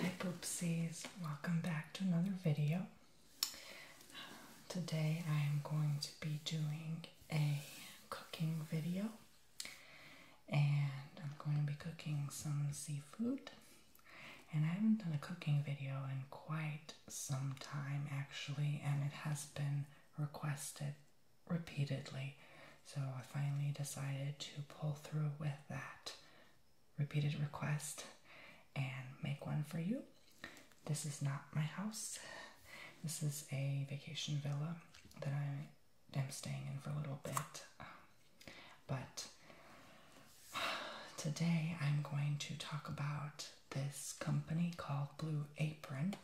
Hi Poopsies, welcome back to another video. Today I am going to be doing a cooking video and I'm going to be cooking some seafood and I haven't done a cooking video in quite some time actually and it has been requested repeatedly. So I finally decided to pull through with that repeated request and make one for you. This is not my house. This is a vacation villa that I am staying in for a little bit. Um, but today I'm going to talk about this company called Blue Apron.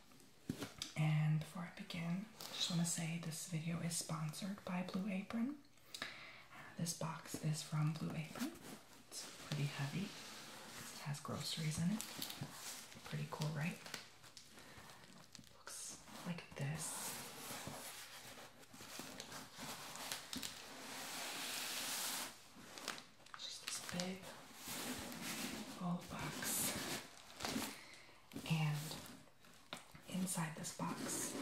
And before I begin, I just want to say this video is sponsored by Blue Apron. Uh, this box is from Blue Apron. It's pretty heavy. It has groceries in it. Pretty cool, right? Looks like this. Just this big old box. And inside this box.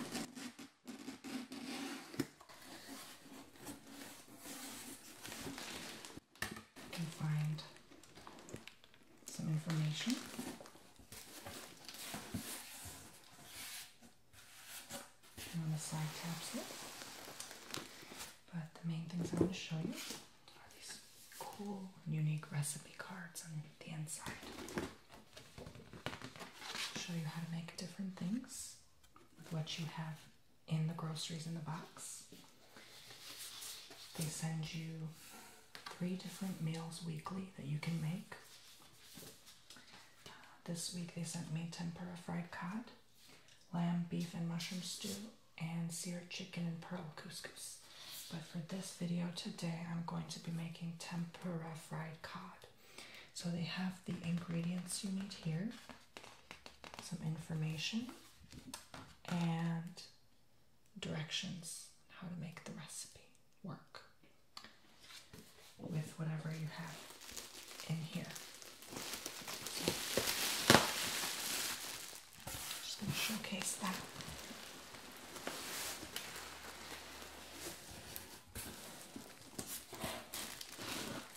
You can find some information. on the side capsule. But the main things I want to show you are these cool, unique recipe cards on the inside show you how to make different things with what you have in the groceries in the box. They send you three different meals weekly that you can make. This week they sent me tempura fried cod, lamb, beef, and mushroom stew, and seared chicken and pearl couscous. But for this video today, I'm going to be making tempura fried cod. So they have the ingredients you need here, some information, and directions how to make the recipe work with whatever you have in here. just going to showcase that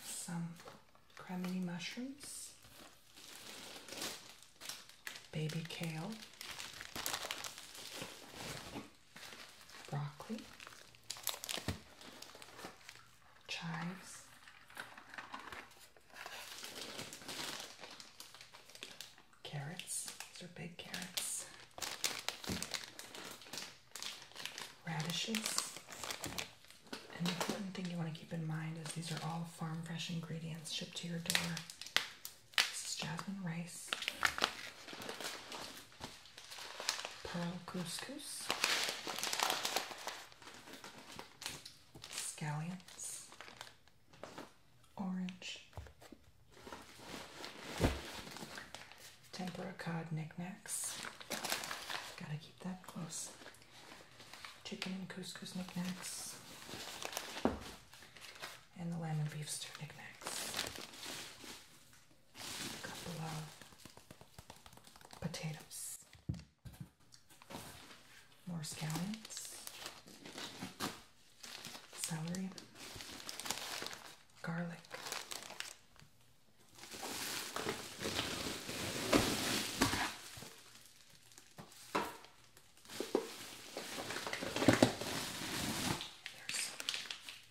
some crimini mushrooms, baby kale, broccoli, chives. Carrots, these are big carrots. Radishes. An important thing you want to keep in mind is these are all farm fresh ingredients shipped to your door. This is jasmine rice, pearl couscous, scallions, Orange. tempera cod knickknacks. Gotta keep that close. Chicken and couscous knickknacks. And the lamb and beef stew knickknacks. A couple of potatoes. More scallions celery, garlic.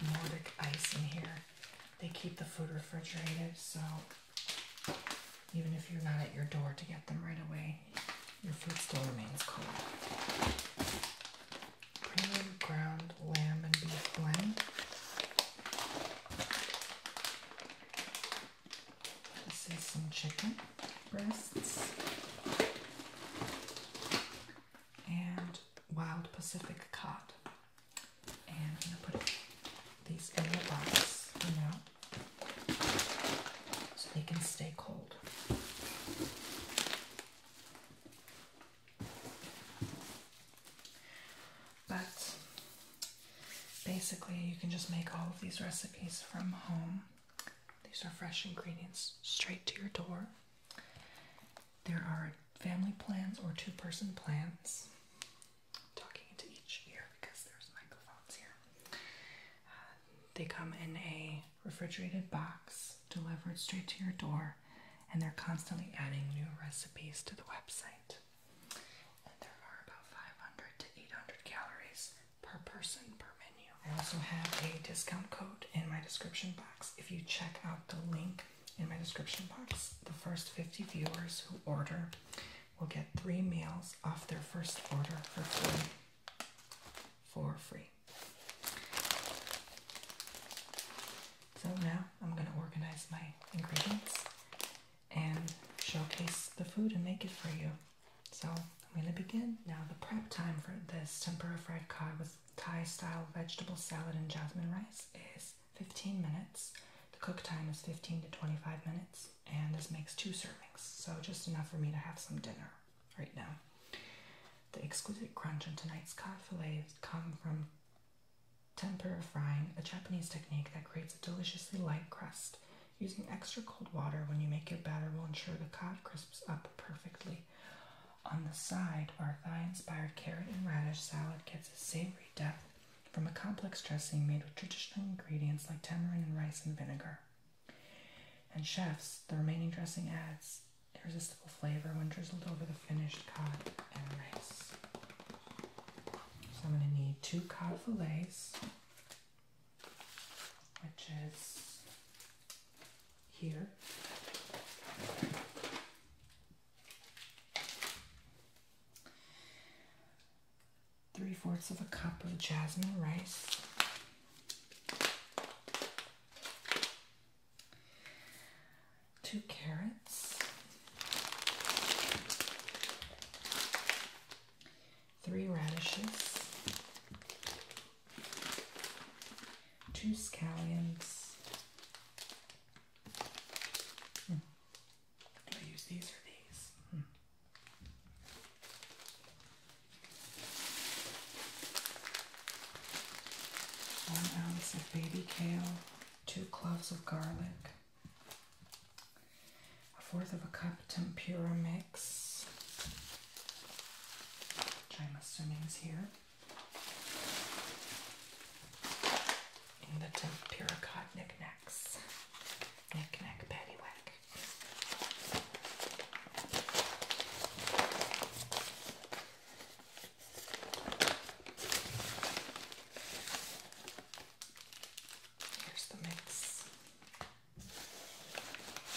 There's Nordic ice in here. They keep the food refrigerated, so even if you're not at your door to get them right away, your food still remains cold premium ground lamb and beef blend. This is some chicken breasts and wild Pacific cod. And I'm gonna put these in the box now so they can stay cold. But basically, you can just make all of these recipes from home. These are fresh ingredients straight to your door. There are family plans or two person plans. talking into each ear because there's microphones here. Uh, they come in a refrigerated box delivered straight to your door, and they're constantly adding new recipes to the website. And there are about 500 to 800 calories per person per menu. I also have a discount code in my description box. If you check out the link in my description box, the first 50 viewers who order will get three meals off their first order for free. For free. So now I'm going to organize my ingredients and showcase the food and make it for you. So I'm going to begin. Now the prep time for this tempura fried cod with Thai style vegetable salad and jasmine rice is 15 minutes. The cook time is 15 to 25 minutes and this makes two servings. So just enough for me to have some dinner right now. The exquisite crunch on tonight's cod fillets come from tempura frying, a Japanese technique that creates a deliciously light crust. Using extra cold water when you make your batter will ensure the cod crisps up perfectly. On the side, our thai inspired carrot and radish salad gets a savory depth from a complex dressing made with traditional ingredients like tamarind rice and vinegar. And chefs, the remaining dressing adds irresistible flavor when drizzled over the finished cod and rice. So I'm going to need two cod fillets, which is here. Three fourths of a cup of jasmine rice two carrots, three radishes, two scallions. Do hmm. I use these or these? Hmm one ounce of baby kale, two cloves of garlic, a fourth of a cup tempura mix, which I'm assuming is here. and the tempura cod knickknacks, knickknack paddywhack.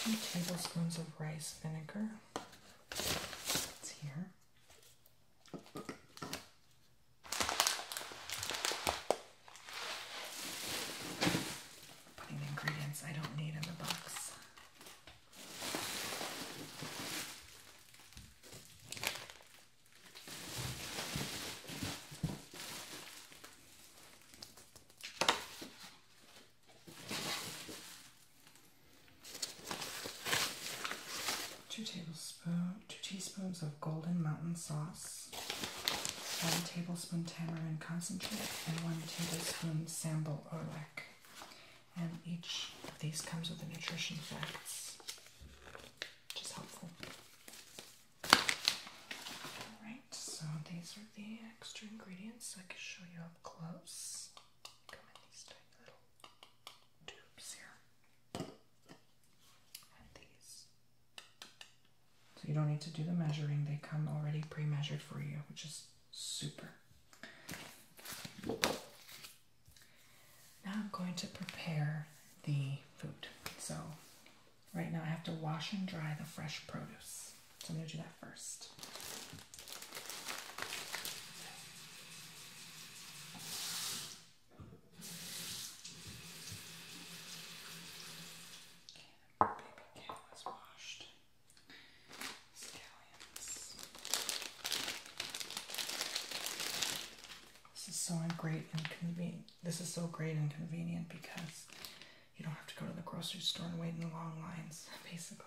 Two tablespoons of rice vinegar. It's here. Putting ingredients I don't need in the box. Two tablespoons, two teaspoons of golden mountain sauce, one tablespoon tamarind concentrate, and one tablespoon sambal orlac and each of these comes with the nutrition facts, which is helpful. Alright, so these are the extra ingredients I can show you up close. Come these tiny little tubes here. And these. So you don't need to do the measuring, they come already pre measured for you, which is super. Now I'm going to prepare the food. So right now I have to wash and dry the fresh produce. So I'm going to do that first. baby cat was washed. This is so great and convenient. This is so great and convenient because you don't have to go to the grocery store and wait in the long lines, basically.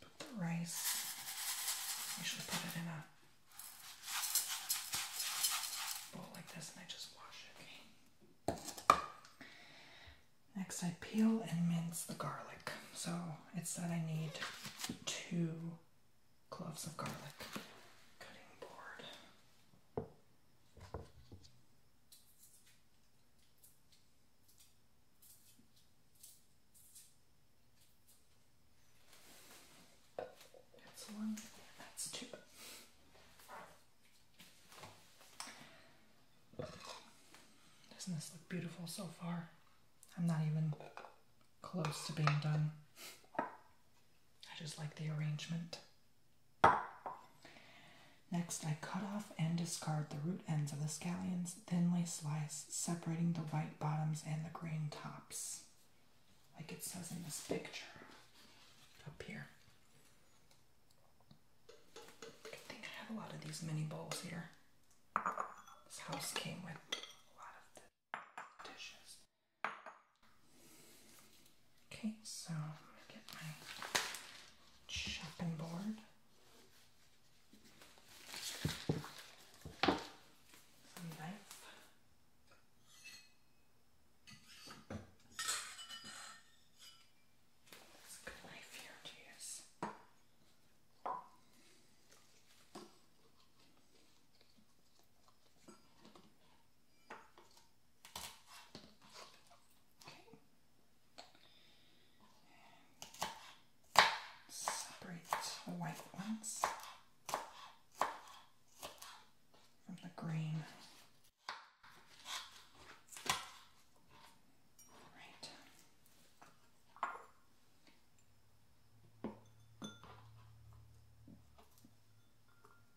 put the rice. I usually put it in a bowl like this and I just wash it. Okay. Next, I peel and mince the garlic. So it said I need two cloves of garlic. Cutting board. That's one, that's two. Doesn't this look beautiful so far? I'm not even close to being done. I just like the arrangement. Next, I cut off and discard the root ends of the scallions, thinly slice, separating the white bottoms and the green tops, like it says in this picture up here. I think I have a lot of these mini bowls here. This house came with a lot of dishes. Okay, so let me get my chopping board. knife. It's a good knife here to use. Separate the white ones from the green. Right.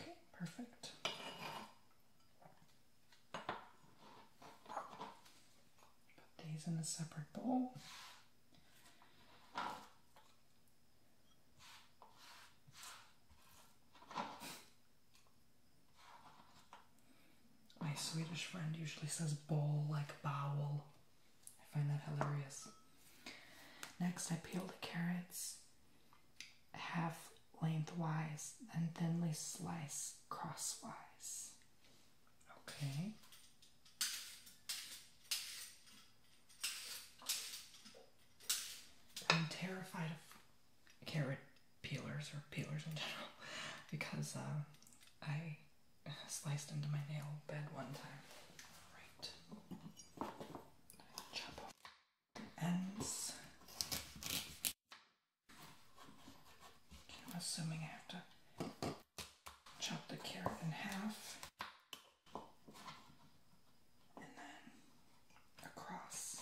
Okay, perfect. Put these in a separate bowl. My Swedish friend usually says bowl like bowel. I find that hilarious. Next, I peel the carrots half lengthwise and thinly slice crosswise. Okay. I'm terrified of carrot peelers or peelers in general because uh, I sliced into my nail bed one time. All right. Chop off ends. assuming I have to chop the carrot in half. And then across.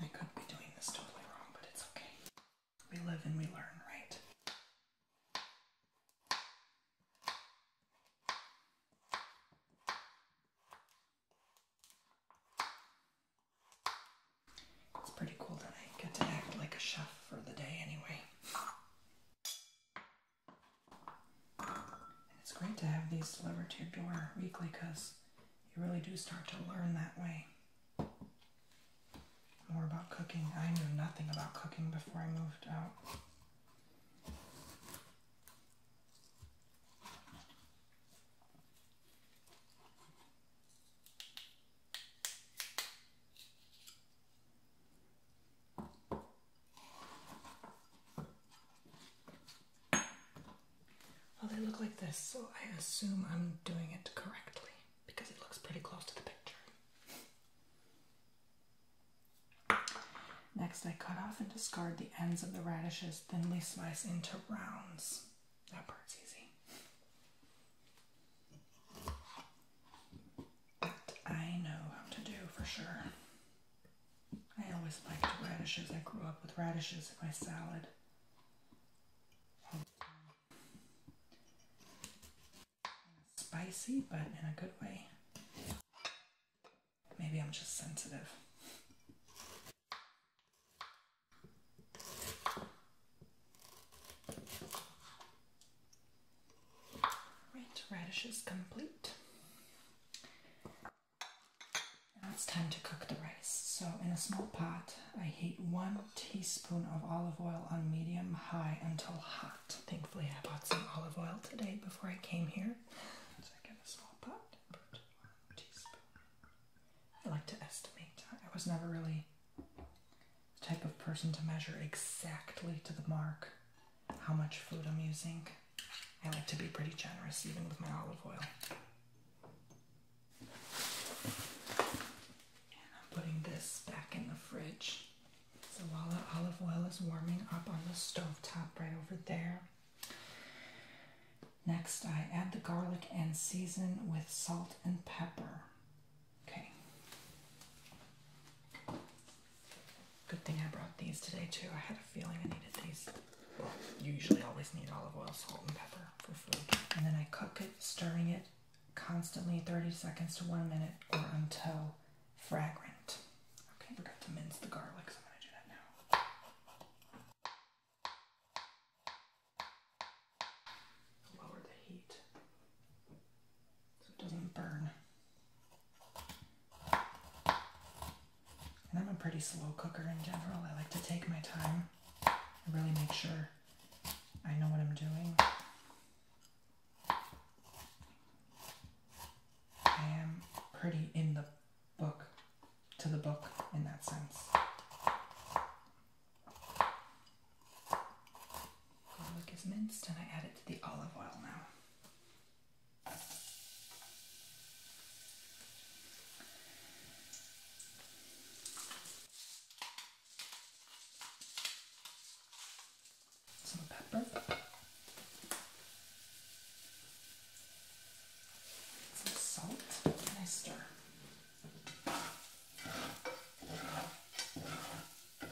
I could be doing this totally wrong, but it's okay. We live and we learn, right? It's pretty cool that I get to act like a chef for the day anyway. it's great to have these delivered to your door weekly because you really do start to learn that way. More about cooking. I knew nothing about cooking before I moved out. Well, they look like this, so I assume I'm doing it correctly because it looks pretty close to the picture. Next, I cut off and discard the ends of the radishes, thinly slice into rounds. That part's easy. I know what to do for sure. I always like radishes. I grew up with radishes in my salad. Spicy, but in a good way. Maybe I'm just sensitive. Right, radish complete. Now it's time to cook the rice. So in a small pot, I heat one teaspoon of olive oil on medium high until hot. Thankfully, I bought some olive oil today before I came here. So I get a small pot, I like to estimate. I was never really type of person to measure exactly to the mark how much food I'm using. I like to be pretty generous even with my olive oil. And I'm putting this back in the fridge. So while the olive oil is warming up on the stove top right over there, next I add the garlic and season with salt and pepper. Okay. Good thing I brought these today too. I had a feeling I needed these. Well, you usually always need olive oil, salt, and pepper for food. And then I cook it, stirring it constantly 30 seconds to one minute or until fragrant. Okay, forgot to mince the garlic, so I'm gonna do that now. Lower the heat so it doesn't burn. And I'm a pretty slow cooker in general. I like to take my time and really make sure I know what I'm doing. I am pretty in the book, to the book in that sense. Garlic is minced, and I add it to the olive oil now. Some pepper. Some salt, and I stir. Now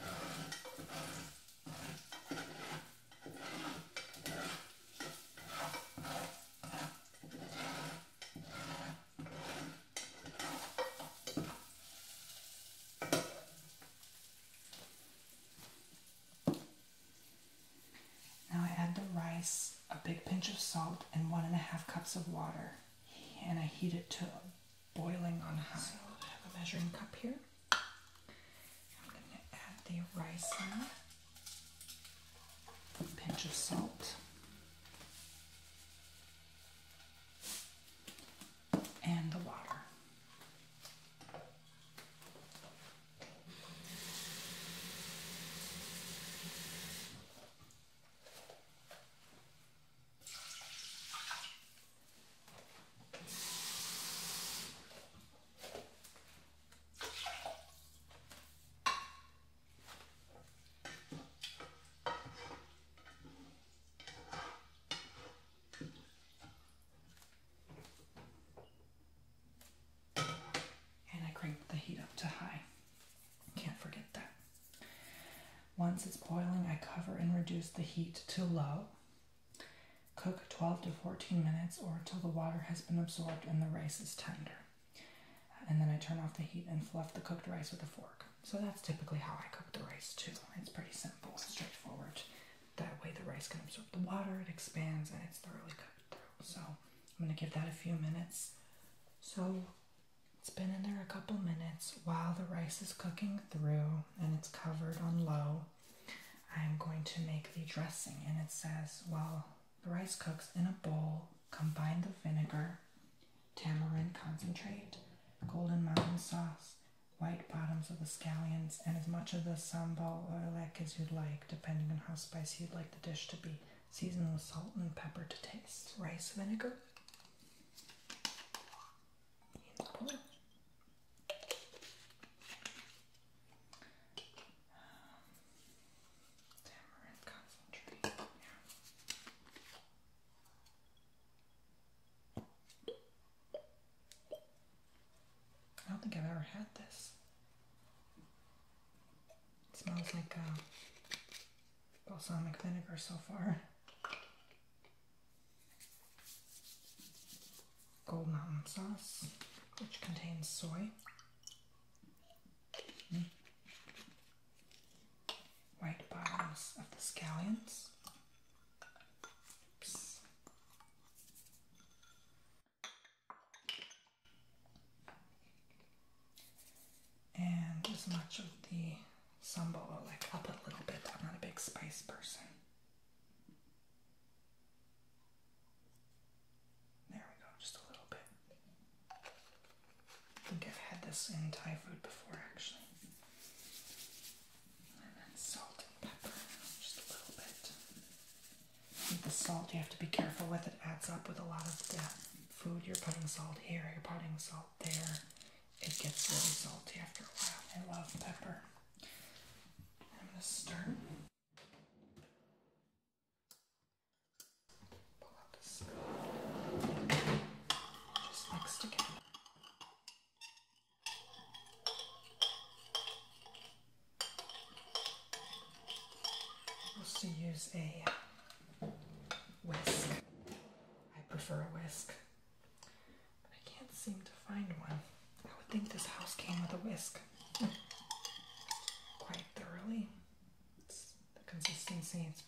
I add the rice, a big pinch of salt, and one and a half cups of water, and I heat it to boiling on high. So I have a measuring cup here. I'm going to add the rice now. A pinch of salt. And the water. And I cranked the heat up to high. Can't forget that. Once it's boiling, I cover and reduce the heat to low. Cook 12 to 14 minutes or until the water has been absorbed and the rice is tender. And then I turn off the heat and fluff the cooked rice with a fork. So that's typically how I cook the rice too. It's pretty simple and straightforward. That way the rice can absorb the water, it expands, and it's thoroughly cooked through. So I'm going to give that a few minutes. So it's been in there a couple minutes while the rice is cooking through and it's covered on low. I'm going to make the dressing, and it says while the rice cooks in a bowl, combine the vinegar, tamarind concentrate, golden mountain sauce, white bottoms of the scallions, and as much of the sambal oilek as you'd like, depending on how spicy you'd like the dish to be. Season with salt and pepper to taste. Rice vinegar tamarind concentrate. I don't think I've ever had this. It smells like uh, balsamic vinegar so far. Gold Mountain sauce, which contains soy, hmm. white bottoms of the scallions. And as much of the sambal, like up a little bit. I'm not a big spice person. There we go, just a little bit. I think I've had this in Thai food before actually. And then salt and pepper, just a little bit. the salt, you have to be careful with it, adds up with a lot of the food. You're putting salt here, you're putting salt there. It gets really salty after a while. I love pepper. I'm gonna stir. Just mix together. I used to use a whisk. I prefer a whisk. But I can't seem to find one. I would think this house came with a whisk. Hmm. Quite thoroughly. the consistency its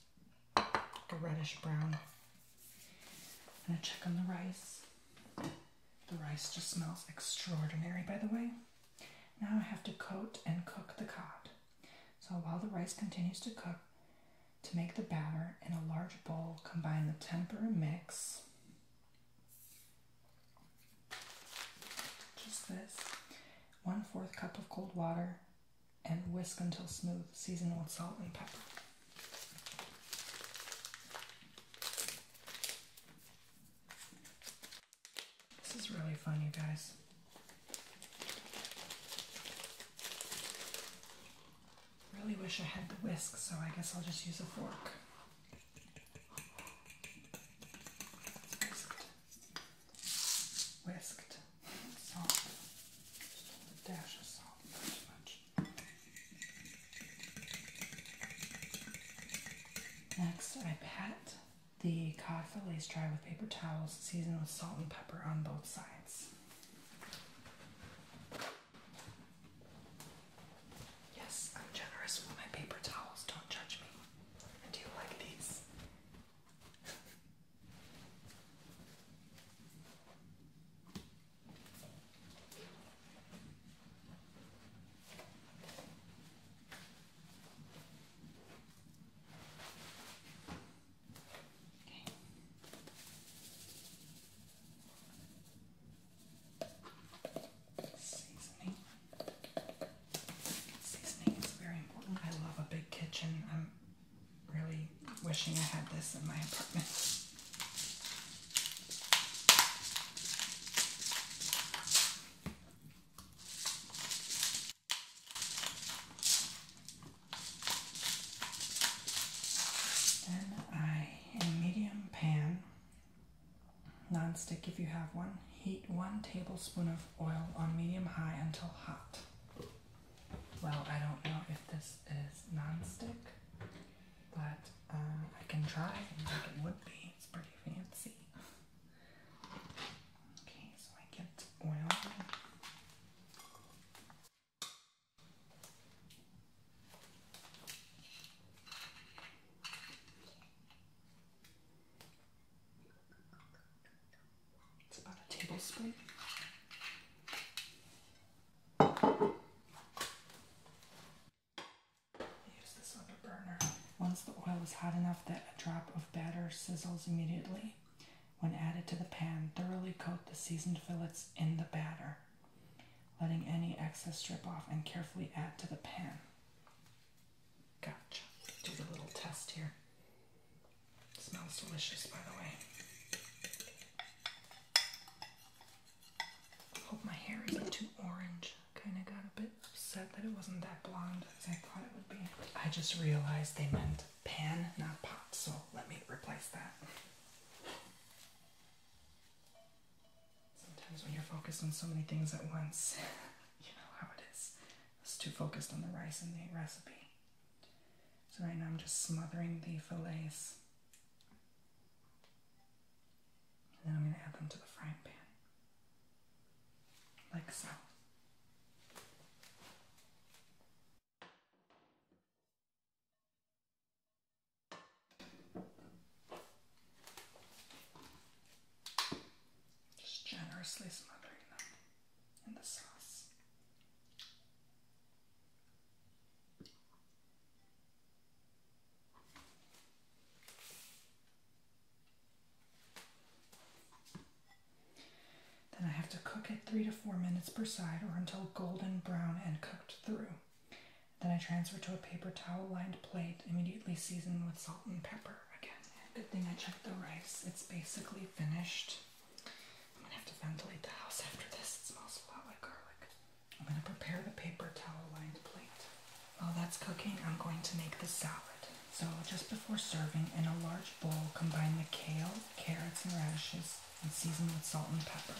a reddish brown. I'm gonna check on the rice. The rice just smells extraordinary, by the way. Now I have to coat and cook the cod. So while the rice continues to cook, to make the batter in a large bowl, combine the temper mix, just this, one fourth cup of cold water, and whisk until smooth. Season with salt and pepper. This is really fun, you guys. Really wish I had the whisk, so I guess I'll just use a fork. Whisked. Salt. Just a dash of salt, not too much. Next, I pat the cod dry with paper towels, seasoned with salt and pepper on both sides. Yes, I'm generous with my paper towels. Don't judge me. do you like these? Okay. Seasoning. Seasoning is very important. I love a big kitchen. I'm really wishing I had this in my apartment. Then I in a medium pan, non-stick if you have one, heat one tablespoon of oil on medium high until hot. Well, I don't know if this is non-stick, but uh, I can try and think it would be. It's pretty fancy. Okay, so I get oil. It's about a tablespoon. Use this other burner. Once the oil is hot enough that a drop of batter sizzles immediately, when added to the pan, thoroughly coat the seasoned fillets in the batter letting any excess drip off and carefully add to the pan. Gotcha. Do the little test here. smells delicious, by the way. Hope my hair isn't too orange. Kind of got a bit upset that it wasn't that blonde as I thought it would be. I just realized they meant pan, not pot, so let me replace that. Sometimes when you're focused on so many things at once, you know how it is. I was too focused on the rice and the recipe. So right now I'm just smothering the fillets. And then I'm going to add them to the frying pan. Like so. Just generously smothering them in the sauce. Then I have to cook it three to four minutes per side or until golden brown and cooked through. Then I transfer to a paper towel lined plate, immediately seasoned with salt and pepper. Again, good thing I checked the rice. It's basically finished. I'm gonna have to ventilate the house after this. It smells a lot like garlic. I'm gonna prepare the paper towel lined plate. While that's cooking, I'm going to make the salad. So just before serving, in a large bowl, combine the kale, carrots, and radishes, and season with salt and pepper.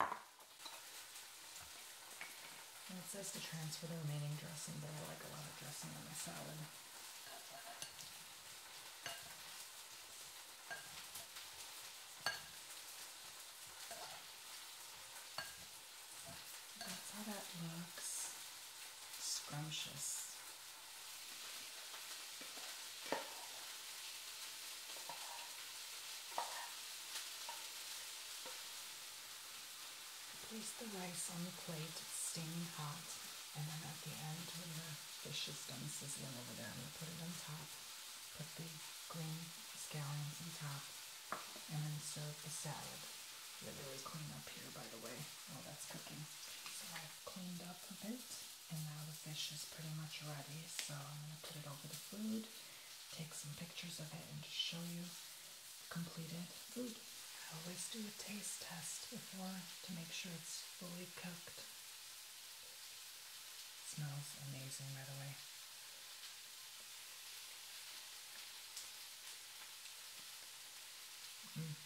And it says to transfer the remaining dressing, but I like a lot of dressing on my salad. That's how that looks. Scrumptious. Place the rice on the plate, it's steaming hot, and then at the end when the fish is done sizzling over there, I'm going to put it on top, put the green scallions on top, and then serve the salad. We're really clean up here, by the way, while that's cooking. So I've cleaned up a bit, and now the fish is pretty much ready, so I'm going to put it over the food take some pictures of it and show you completed food. I always do a taste test before to make sure it's fully cooked. It smells amazing, by the way. Mm,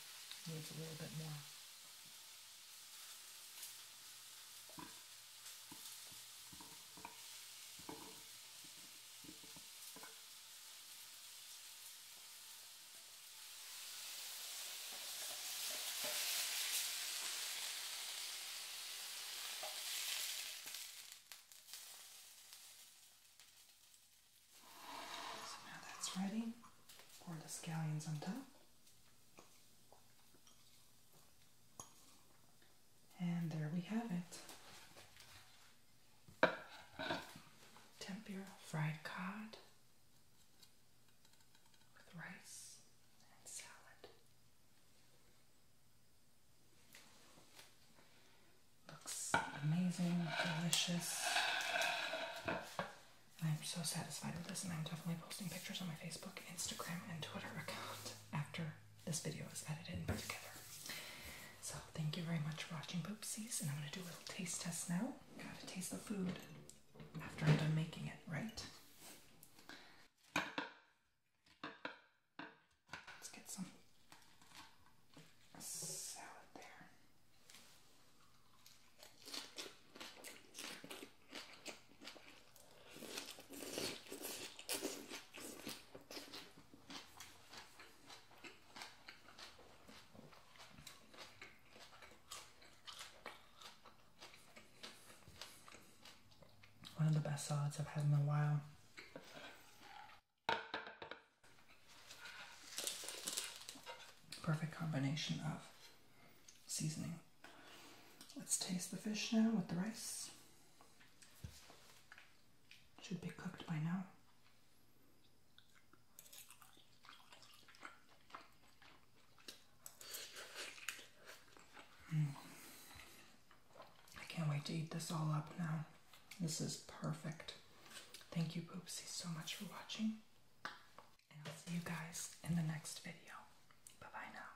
needs a little bit more. So now that's ready. Pour the scallions on top. And there we have it. Tempura fried cod with rice and salad. Looks amazing, delicious. I'm so satisfied with this, and I'm definitely posting pictures on my Facebook, Instagram, and Twitter account after this video is edited and put together. So thank you very much for watching Poopsies, and I'm gonna do a little taste test now. Gotta taste the food after I'm done making it, right? Let's get some salad there. One of the best salads I've had in a while. Perfect combination of seasoning. Let's taste the fish now with the rice. Should be cooked by now. Hmm. I can't wait to eat this all up now. This is perfect. Thank you, Poopsie, so much for watching. And I'll see you guys in the next video. Bye bye now.